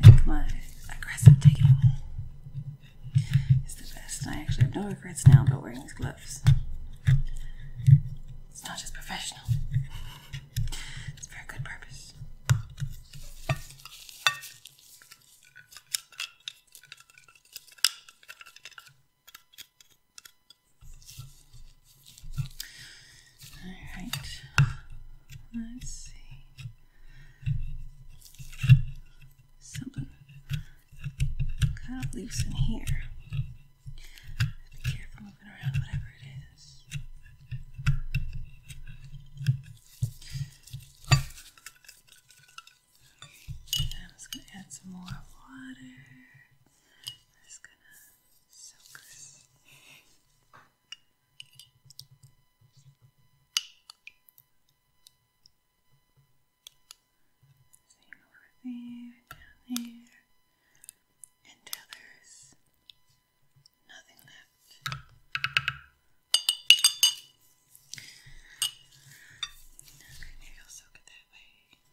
I think my aggressive taking is the best. I actually have no regrets now about wearing these gloves. It's not just professional, it's for a good purpose. All right, let's see. Something kind of loose in here. Be careful moving around, whatever it is. I'm just going to add some more water. I'm just going to so crisp. Same over there, down there, and tethers. Nothing left. I'll soak it that way.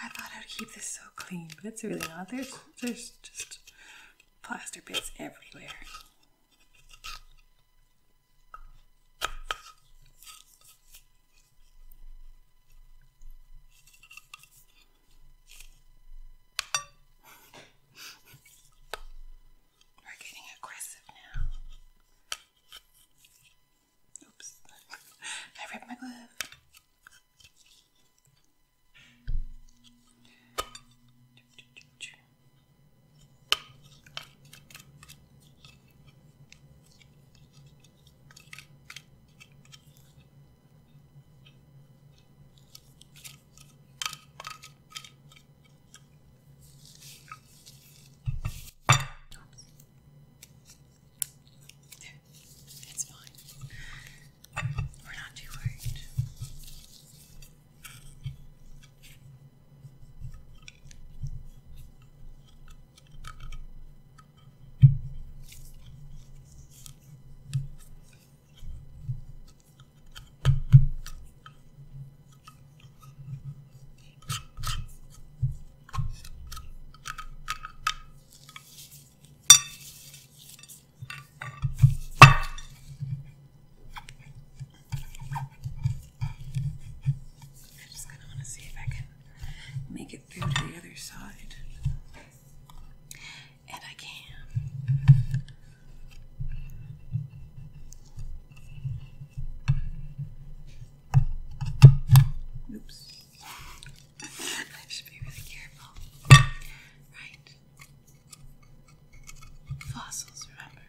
I thought I'd keep this so clean, but it's really not. There's there's just plaster bits everywhere. We're getting aggressive now. Oops, I ripped my glove. There, it's fine. We're not too worried. I just kind of want to see if I can make it through to the other side. And I can. Oops. I should be really careful. Right. Fossils, remember.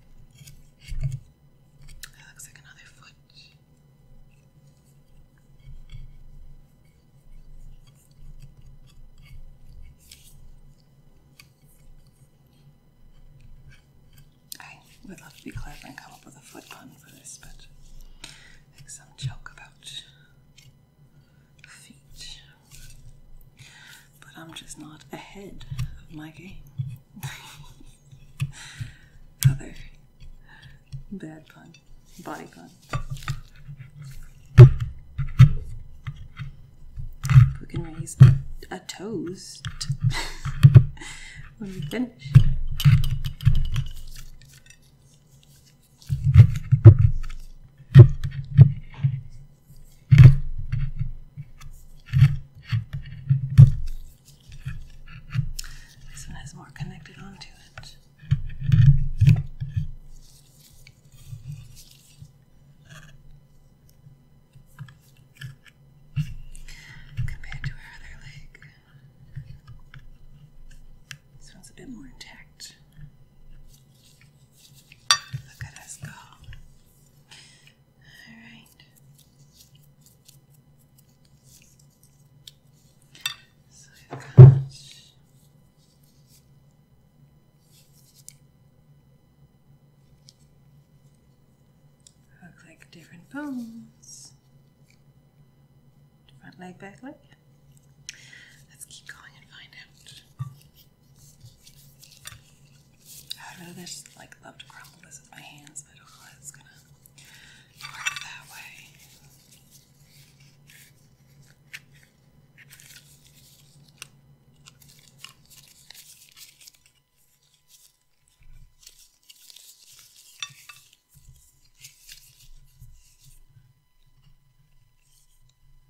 That looks like another foot. I would love to be clever and come up with a foot pun for this, but I some joke about feet. But I'm just not ahead of my game. Other bad pun, body pun. We can raise a toast when we finish. This one has more connected onto it. Compared to her other leg, this one's a bit more intact. Look at us go. All right. So I've got. Look like different bones. Front leg, back leg. Let's keep going and find out. I really just like love to crumble this with my hands, but I don't know if it's gonna work that way.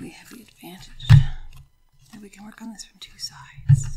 We have the advantage that we can work on this from two sides.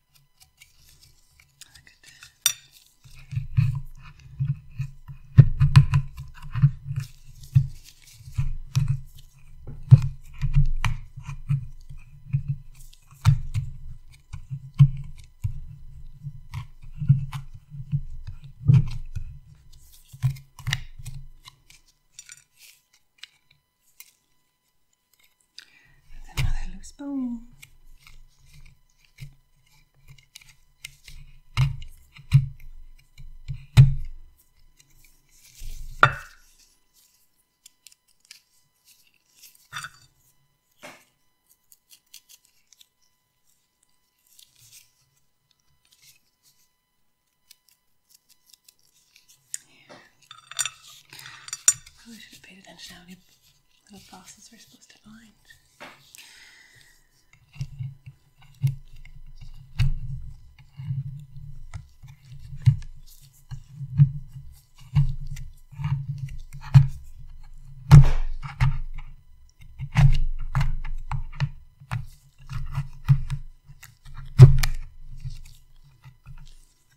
Look at that. That's another loose bone. Probably should have paid attention to how many the glasses are supposed to find.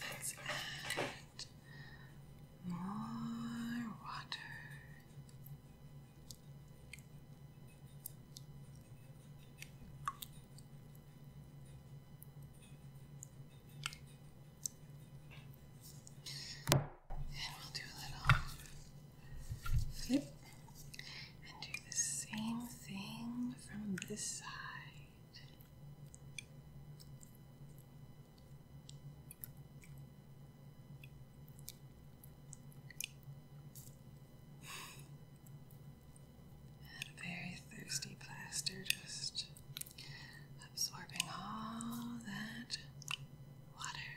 Let's add more water. And we'll do a little flip and do the same thing from this side. That very thirsty plaster just absorbing all that water.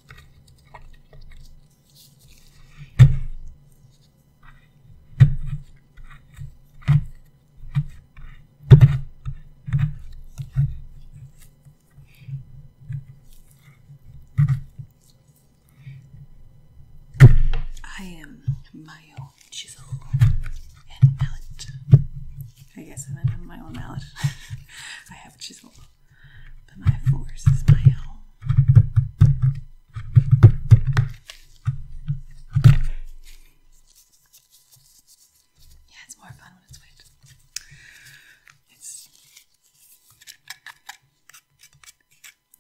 I am my own chisel and mallet. I guess I'm my own mallet. I have chisel. Yeah, it's more fun when it's It's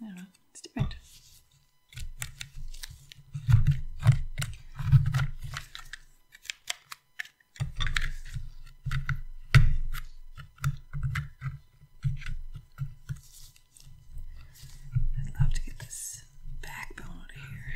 I it's different. I'd love to get this backbone out of here.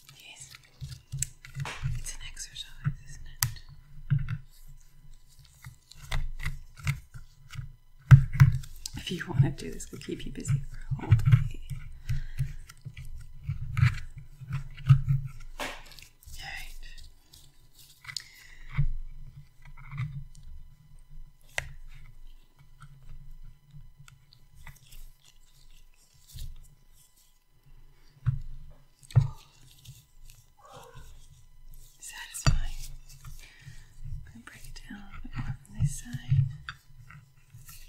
Yes. It's an exercise, isn't it? If you want to do this, we'll keep you busy for a whole day. Right. Satisfying. I'm gonna break it down a little bit more from this side. Okay.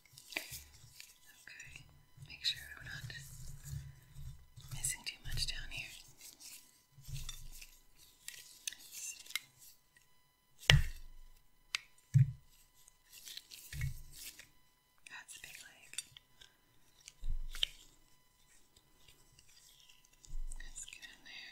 Okay, make sure I'm not missing too much down here. That's a big leg. Let's get in there.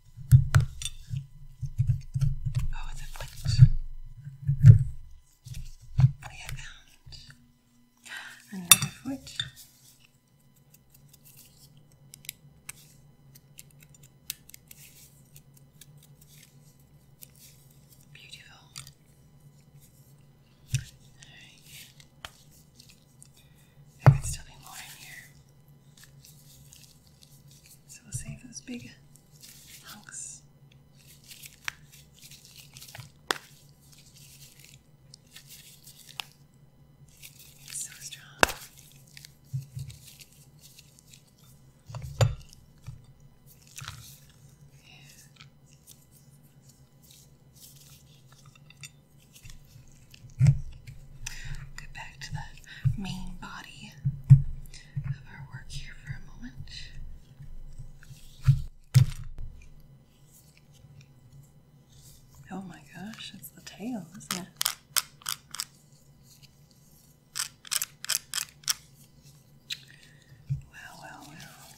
Oh, the blinks. We found another foot. Beautiful. All right. I could still need more in here. So we'll save those big hunks. so strong. Get back to the main body of our work here for a moment. Oh my gosh, it's the tail, isn't it? Wow, wow, wow.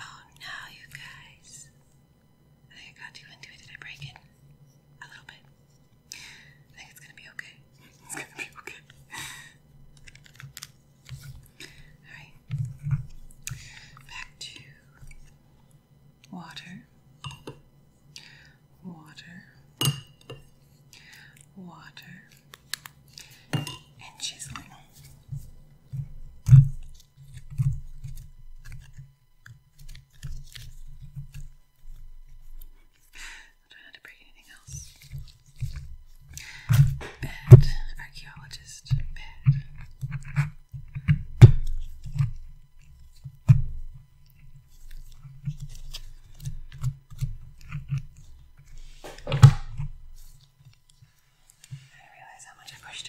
Oh no, you guys. I got too into it. Did I break it? A little bit. I think it's gonna be okay. It's gonna be okay. Alright. Back to water, water, water, and chiseling. don't know to bring anything else. Bad archaeologist. Bad. I didn't realize how much I pushed.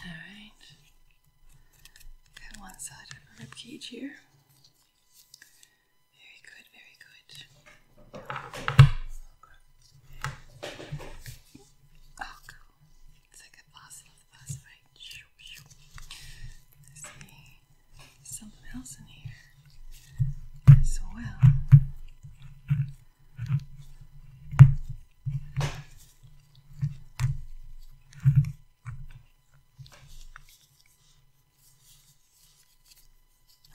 Alright. Got one side of the rib cage here. Very good, very good. Oh, cool. It's like a fossil of see something else in here as well.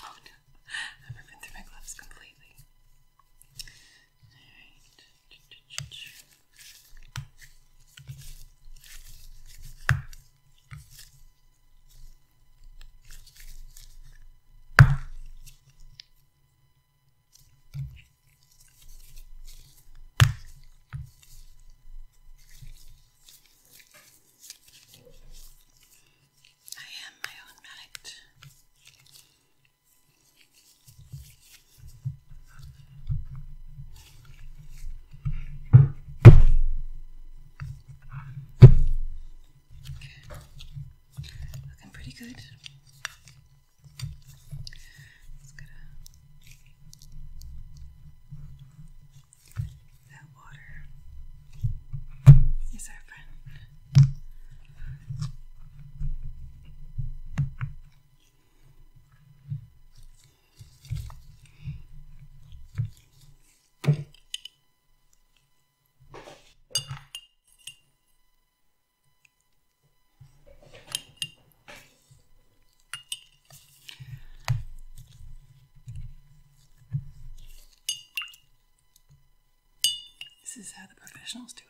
Oh no, I'm ripping through my gloves completely. Alright. I am my own addict. Okay. Looking pretty good. Just gonna. That water is our friend. Okay. This is how the professionals do it.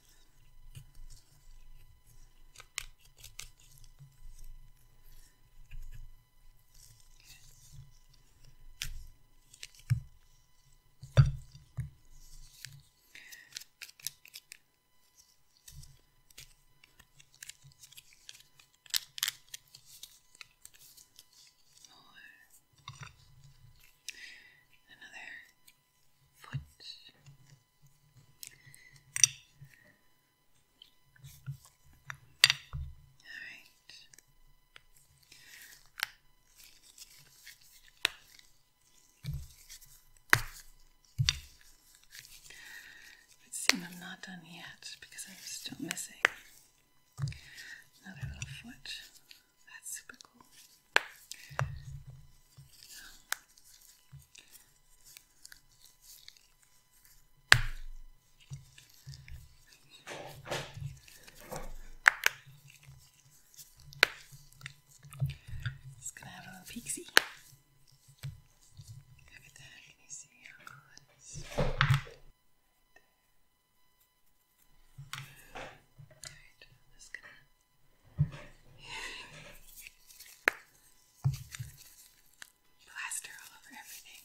More. Another foot. All right. It seems I'm not done yet because I'm still missing another little foot. That's super cool. It's gonna have a little pixie. Look at that. Can you see how cool it is? Alright, I'm just gonna Plaster all over everything.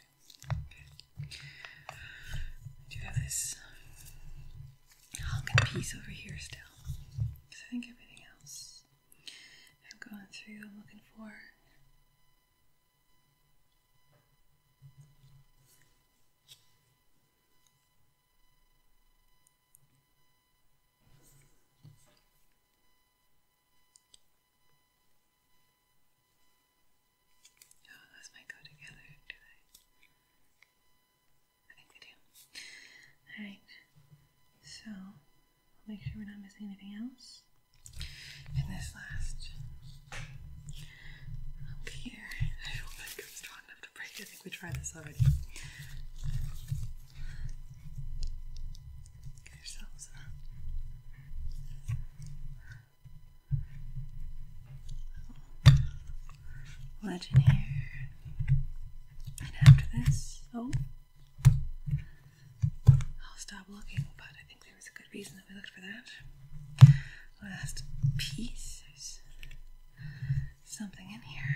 I do have this hunk piece over here still. Because I think everything else I'm going through, I'm looking for. Oh, those might go together, do they? I think they do. Alright, so I'll make sure we're not missing anything else. And this last here, I hope that comes strong enough to break. I think we tried this already. Legend here. And after this, oh, I'll stop looking, but I think there was a good reason that we looked for that. Last piece, something in here.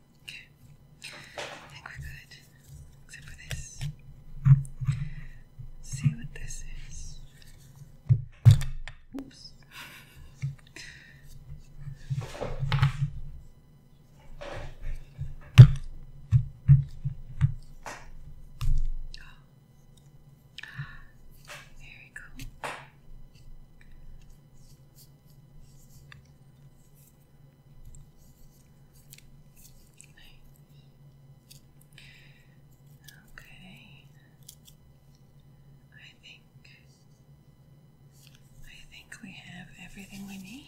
Okay. I think we're good. Except for this. see what this is. Oops. Very cool. Okay. I think I think we have everything we need.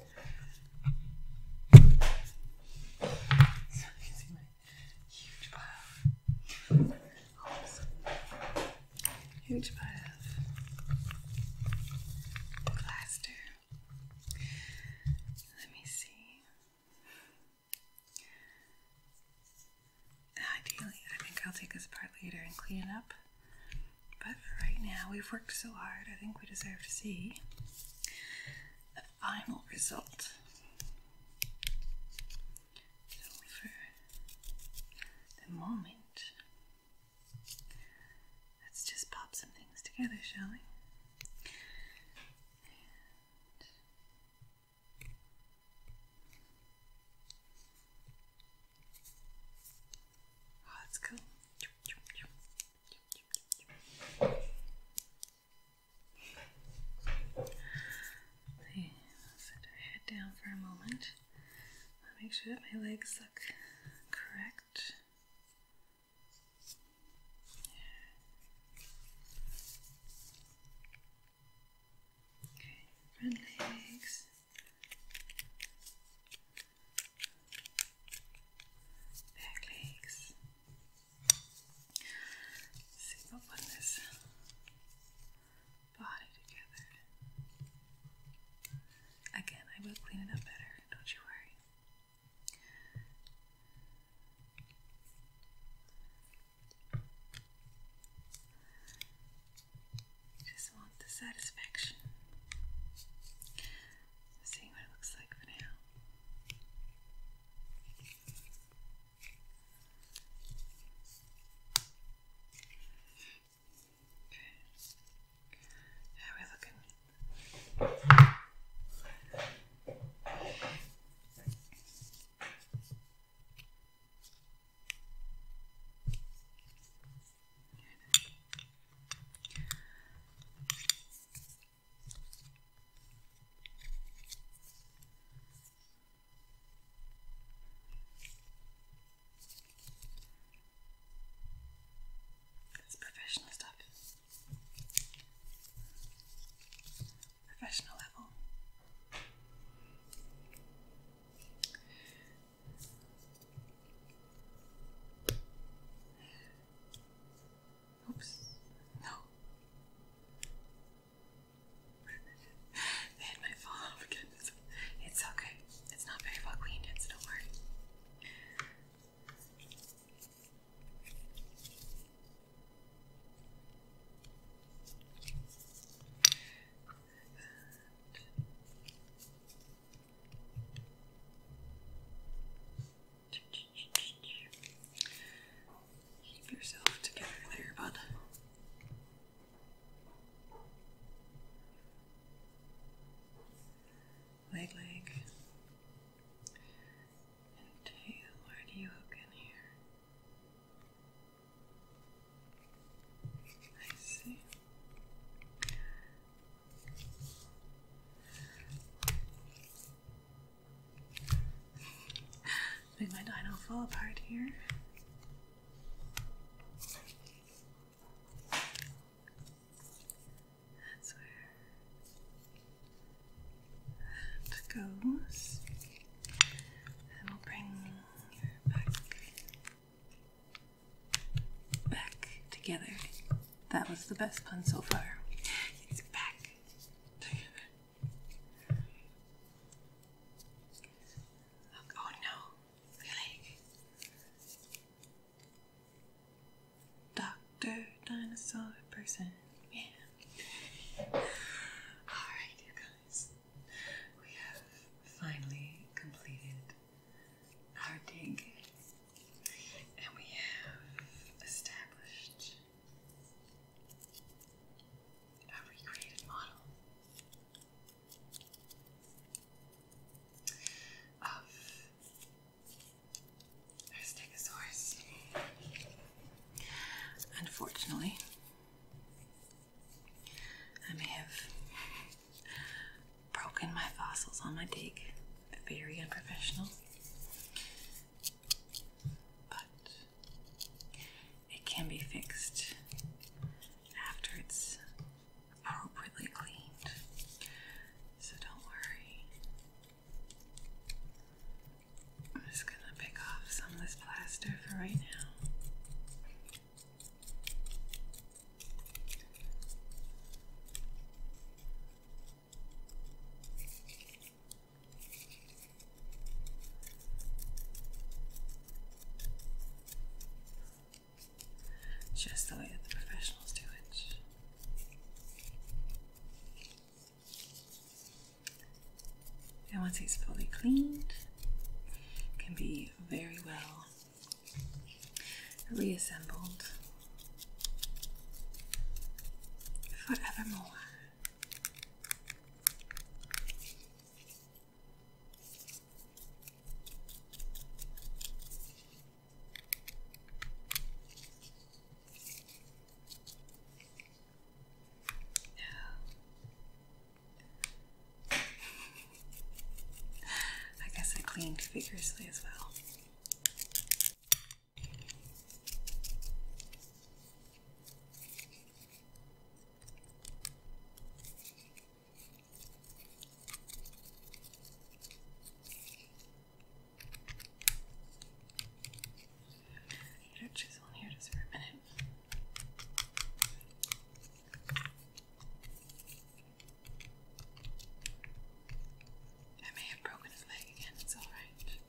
So you can see my huge pile. Huge pile of plaster. Let me see. Ideally, I think I'll take this apart later and clean it up. But for right now, we've worked so hard, I think we deserve to see the final result. for the moment, let's just pop some things together, shall we? Oh, that's cool. Okay, let's set our head down for a moment. make sure that my legs look correct. Okay, front legs back legs. See if i put this body together. Again, I will clean it up better, don't you worry. Just want the satisfaction seeing what it looks like for now. Okay. How we looking? It's professional stuff. Professional level. Oops. No. they had my phone off again. It's, it's okay. It's not very well cleaned yet, so don't worry. And Keep yourself together there, bud. Leg, leg, and tail. Where do you hook in here? I see. Make my dino fall apart here. That's where that goes. And we'll bring her back back together. That was the best pun so far. It's back together. Oh, oh no, my Doctor Dinosaur Person. Yeah. Alright, you guys. We have finally completed our dengue. And we have established a recreated model of stegosaurus. Unfortunately, I may have broken my fossils on my dig. Very unprofessional. But it can be fixed after it's appropriately cleaned. So don't worry. I'm just going to pick off some of this plaster for right now. Just the way that professionals do it. And once it's fully cleaned, it can be very well reassembled forevermore. No. I guess I cleaned vigorously as well. Put a chisel in here just for a minute. I may have broken his leg again, it's alright.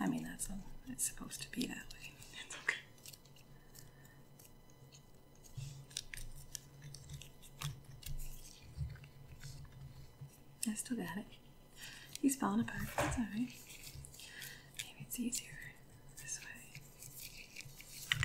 I mean, that's all, it's supposed to be that way. It's okay. I still got it. He's falling apart, that's alright. Maybe it's easier this way.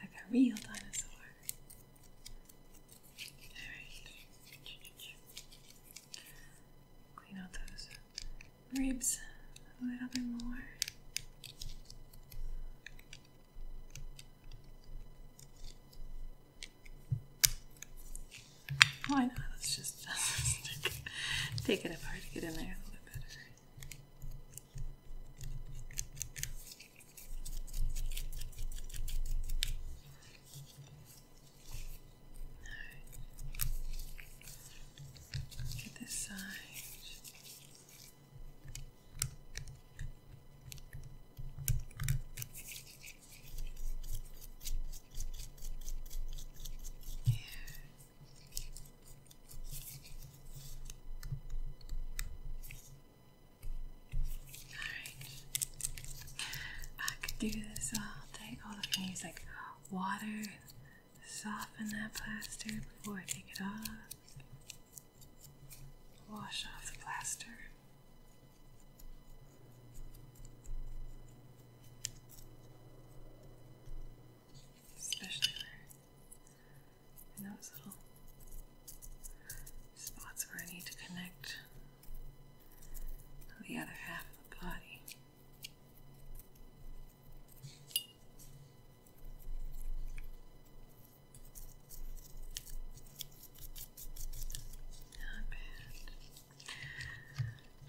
Like a real dinosaur. Alright. Clean out those ribs a little bit more. Why not? Let's just, take it apart to get in there a little bit better. No. Look this side. Yeah. I could do this all day. All I can like water, soften that plaster before I take it off. Wash off the plaster. Especially and those little spots where I need to connect the other half of the body. Not bad.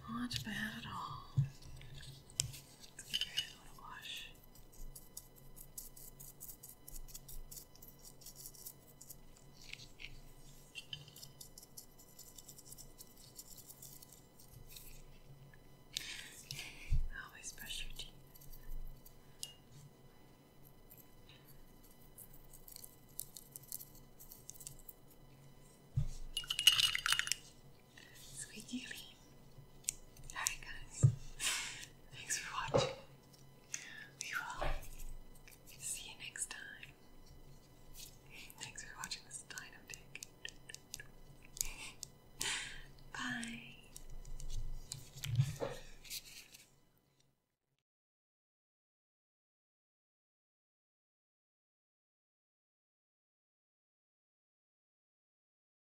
Not bad at all. Let's give your wash. Always brush your teeth. Squeaky Alright guys, thanks for watching. We will see you next time. Thanks for watching this dino dick. Bye.